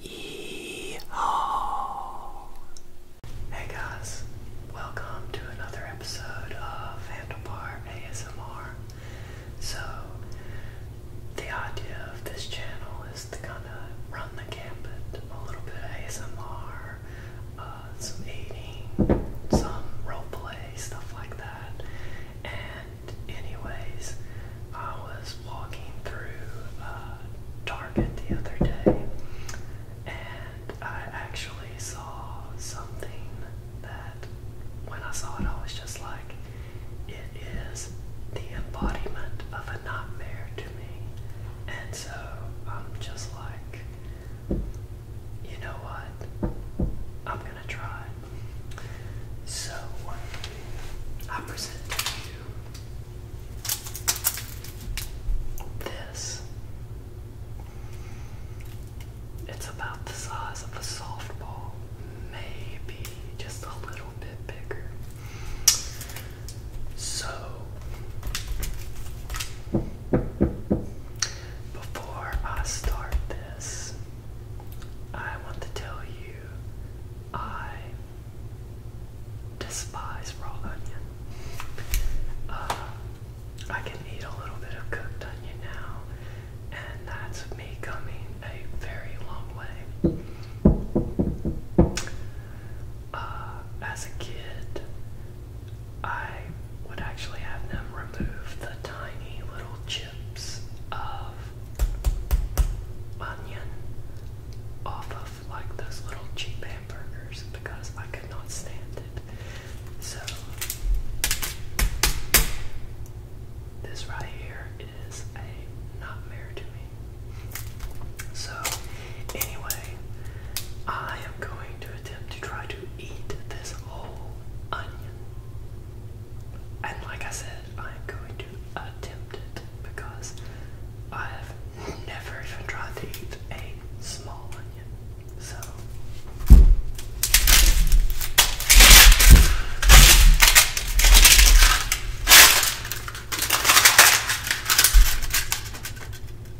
Hey guys, welcome to another episode of Handlebar ASMR. So, the idea of this channel is to kind of run the gambit a little bit of ASMR, uh, some eating, some roleplay, stuff like that, and anyways, I was walking through uh, Target the other day and I actually saw something that when I saw it, I was just like, it is the embodiment of a nightmare to me. And so I'm just like, you know what? I'm gonna try so, I present to you this. It's about the size of a softball, maybe just a little bit bigger. So, before I start this, I want to tell you I despise raw onion. Uh, I can eat a little bit of cooked onion now, and that's me coming a very long way. Uh, as a kid, I would actually have them remove the tiny little chips of onion off of like those little cheap hamburgers because I could not stand it. So this right here is a nightmare to me. So anyway, I am going to attempt to try to eat this whole onion. And like I said, I'm going to attempt it because I have never even tried to eat a small onion. So.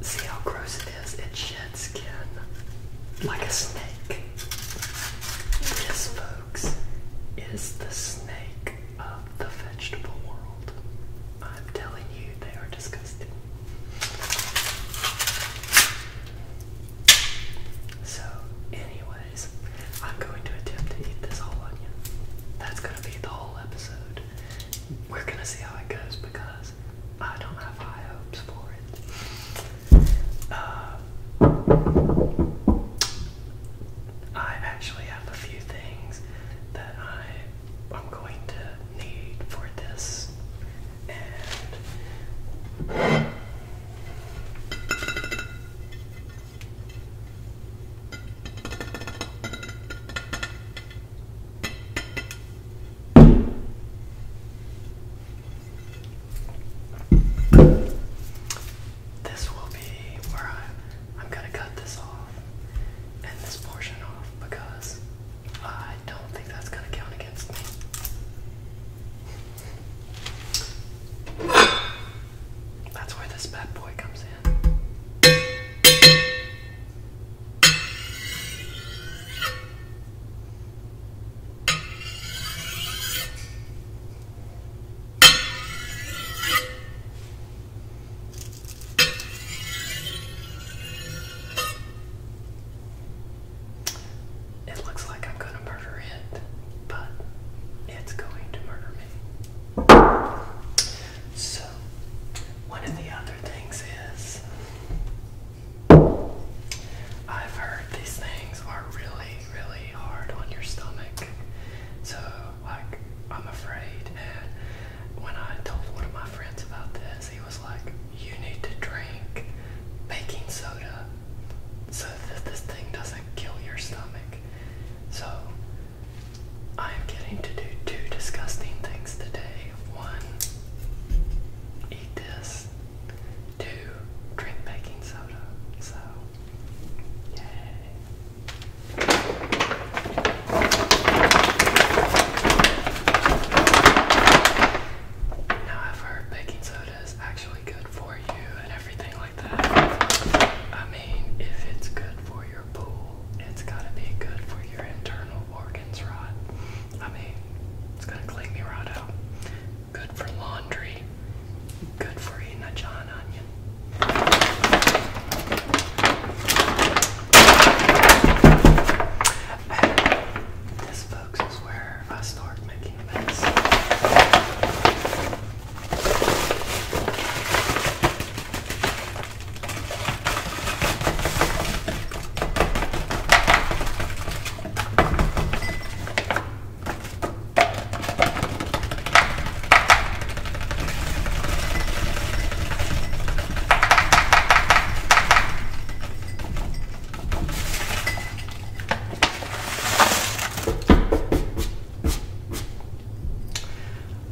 See how gross it is? It sheds skin like a snake. This food is the snake of the vegetable world. I'm telling you, they are disgusting. So, anyways, I'm going to attempt to eat this whole onion. That's going to be the whole episode. We're going to see how it goes because I don't have high hopes for it. Uh, I actually have a few things that I am going to need for this, this will be where I, am gonna cut this off and this portion off because I don't think that's gonna count against me. That's where this bad boy comes in. It looks like I'm going to murder it, but it's going to murder me. So, one of the other things is I've heard these things are really really hard on your stomach. So, like, I'm afraid. And when I told one of my friends about this, he was like, You need to drink baking soda so that this thing doesn't kill your stomach. So, I am getting to do two disgusting things today. One, eat this, do drink baking soda, so yay. Now I've heard baking soda is actually good for you and everything like that. I mean, if it's good for your pool, it's gotta be good for your internal organs, right? I mean, it's gonna clean me right out. Good for laundry. Good for eating a John Onion. this, folks, is where I start making a mess.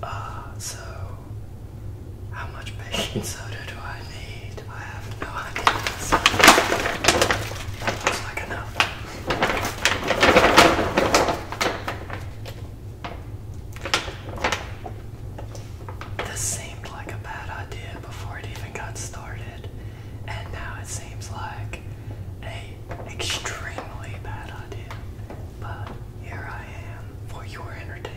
Uh, so, how much baking soda do I need? I have no idea. That like enough. This seemed like a bad idea before it even got started, and now it seems like a extremely bad idea. But here I am for your entertainment.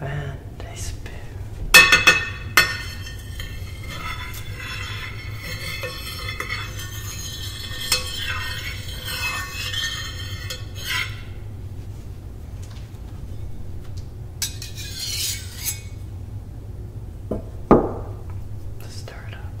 And a spoon. stir it up.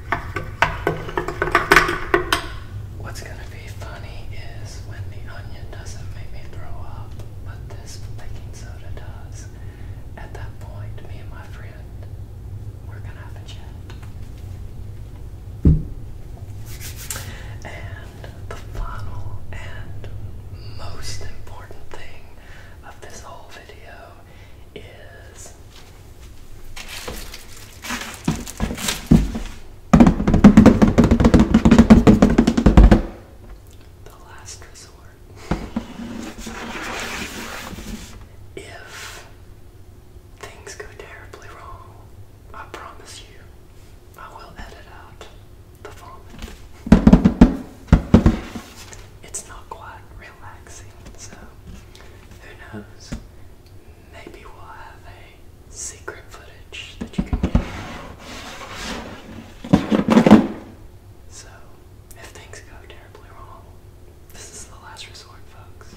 What's gonna be funny is when the onion doesn't make me throw up, but this baking soda does. At that point, me and my friend, we're gonna have a chat. And the final and most important thing of this whole video is the last resort. if things go terribly wrong, I promise you, I will edit out the vomit. It's not quite relaxing, so who knows? Maybe we'll have a secret footage that you can get. So, if things go terribly wrong, this is the last resort, folks.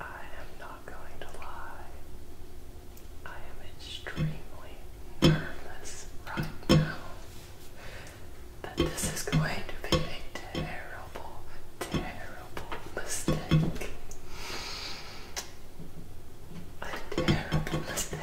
I am not going to lie. I am extremely nervous right now that this is going to be a terrible, terrible mistake. A terrible mistake.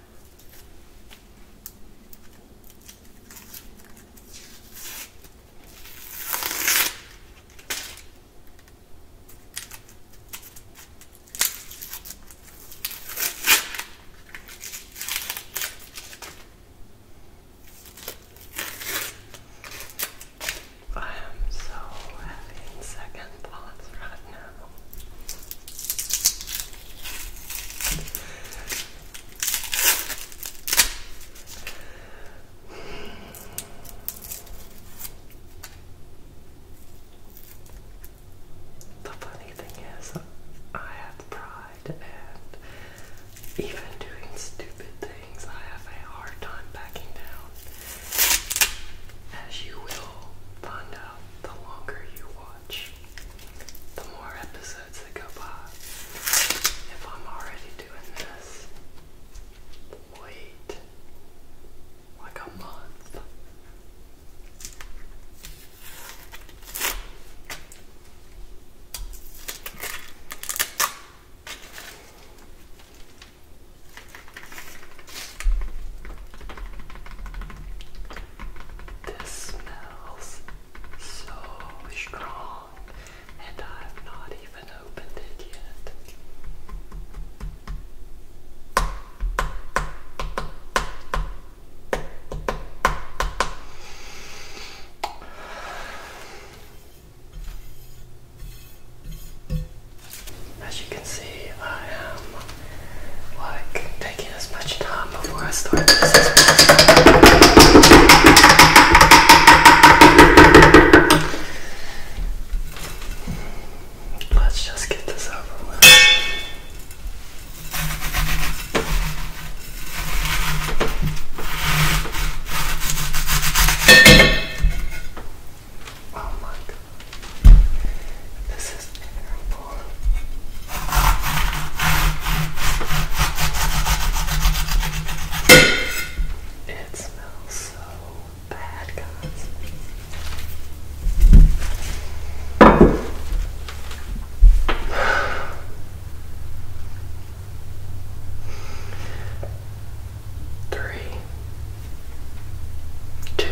I am so having second thoughts right now. The funny thing is, I have pride, and even doing stupid things, I have a hard time backing down. As you will find out the longer you watch the more episodes that go by. If I'm already doing this, wait like a month. This smells so strong, and I've not even opened it yet. As you can see, I am like taking as much time before I start this as Let's just get this over with. Oh my god. This it smells so bad, guys. Three, two,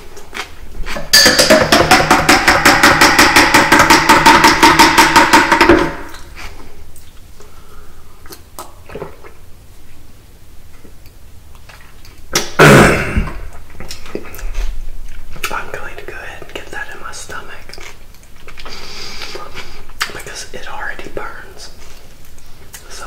I'm going to go ahead and get that in my stomach because it already burns. So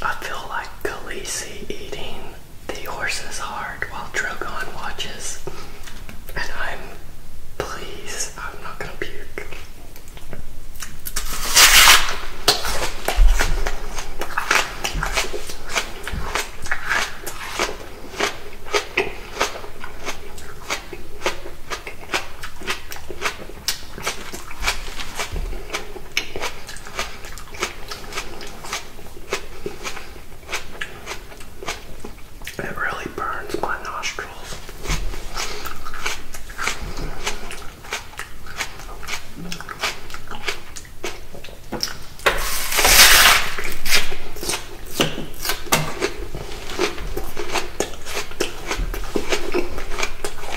I feel like Khaleesi eating the horse's heart while Drogon watches, and I'm please, I'm not gonna puke. It really burns my nostrils.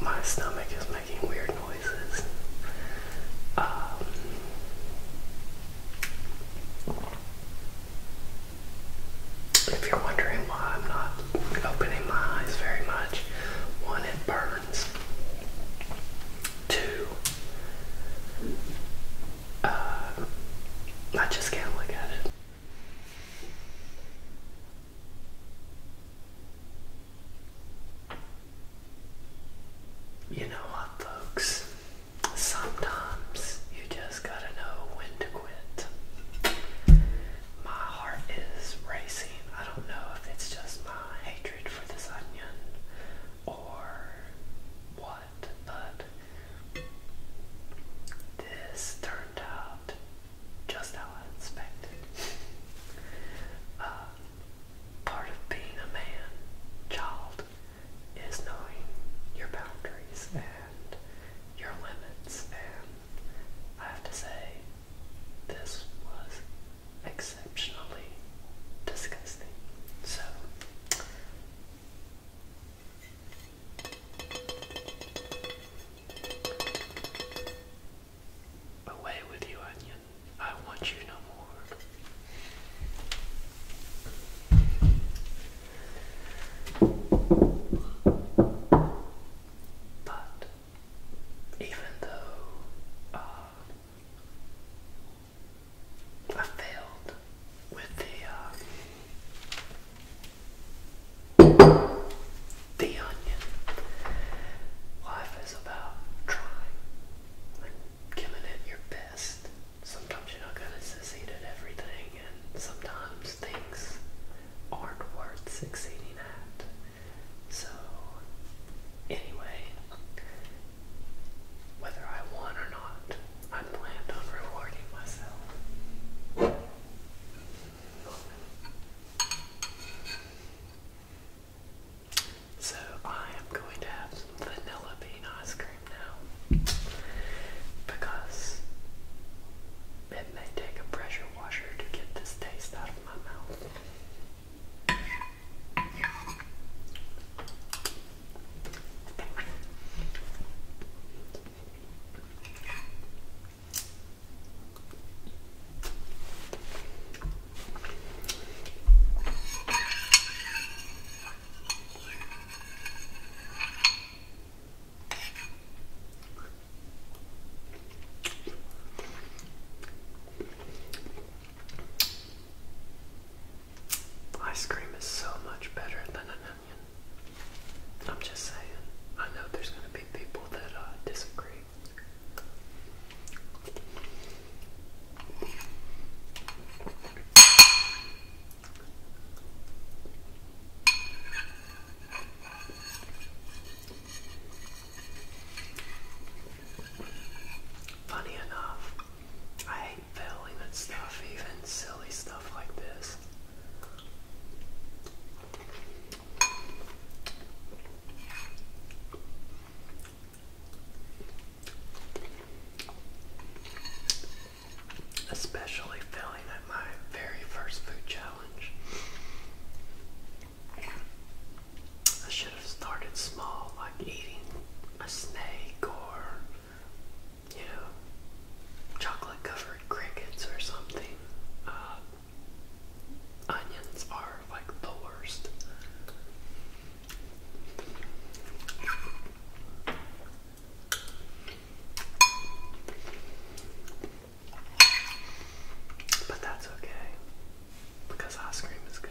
My stomach is making weird noises. Um, if you're wondering why I'm not opening my eyes very much, one, it burns. Two, uh, I just can't look at it. You know what, folks? Sometimes you just gotta know when to quit. My heart is racing. I don't know if it's just my hatred for this onion or what, but this turned out just how I expected. Uh, part of being a man, child, is knowing your boundaries and your limits, and I have to say, this was exceptionally disgusting. So, Away with you, onion. I want you no more. But even though uh, I failed with the uh, the Onion. Life is about trying giving it your best. Sometimes you're not going to succeed at everything, and sometimes things aren't worth succeeding at. So, anyway, whether I won or not, I planned on rewarding myself. So I am going to have some vanilla bean ice cream now because it may take a pressure washer to get this taste out of my mouth. Ice cream is so much better than an I'm just saying. I know there's going to be people that uh, disagree. Funny enough, I hate failing at stuff, even silly stuff like this. Especially failing at my very first food challenge. I should have started small, like eating a snake or, you know, chocolate covered crickets or something. Uh, onions are like the worst. But that's okay because ice cream is good.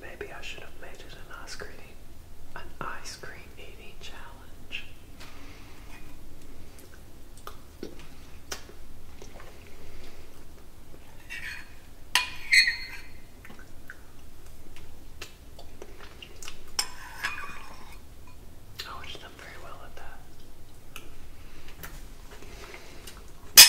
Maybe I should have made it an ice cream, an ice cream eating challenge. I would have very well at that.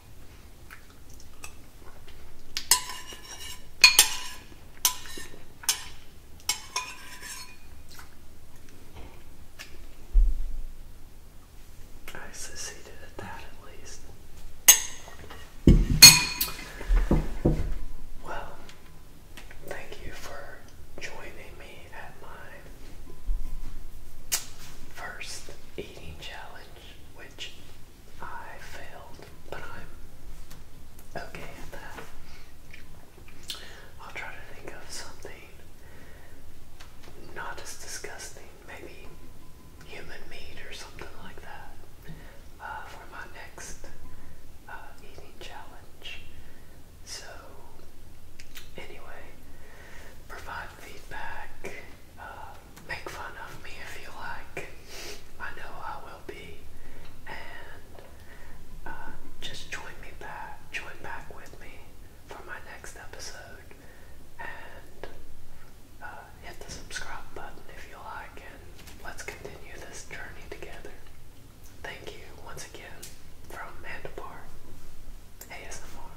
I succeeded at that at least. Well, thank you for joining me at my first eating challenge, which I failed, but I'm okay at that. I'll try to think of something not as disgusting, maybe human meat or something like that, uh, for my next uh, eating challenge. So, anyway, provide feedback. Uh, make fun of me if you like. I know I will be. And uh, just join me back, join back with me for my next episode. And uh, hit the subscribe button if you like, and let's continue this journey together. Thank you once again from Mandapar ASMR.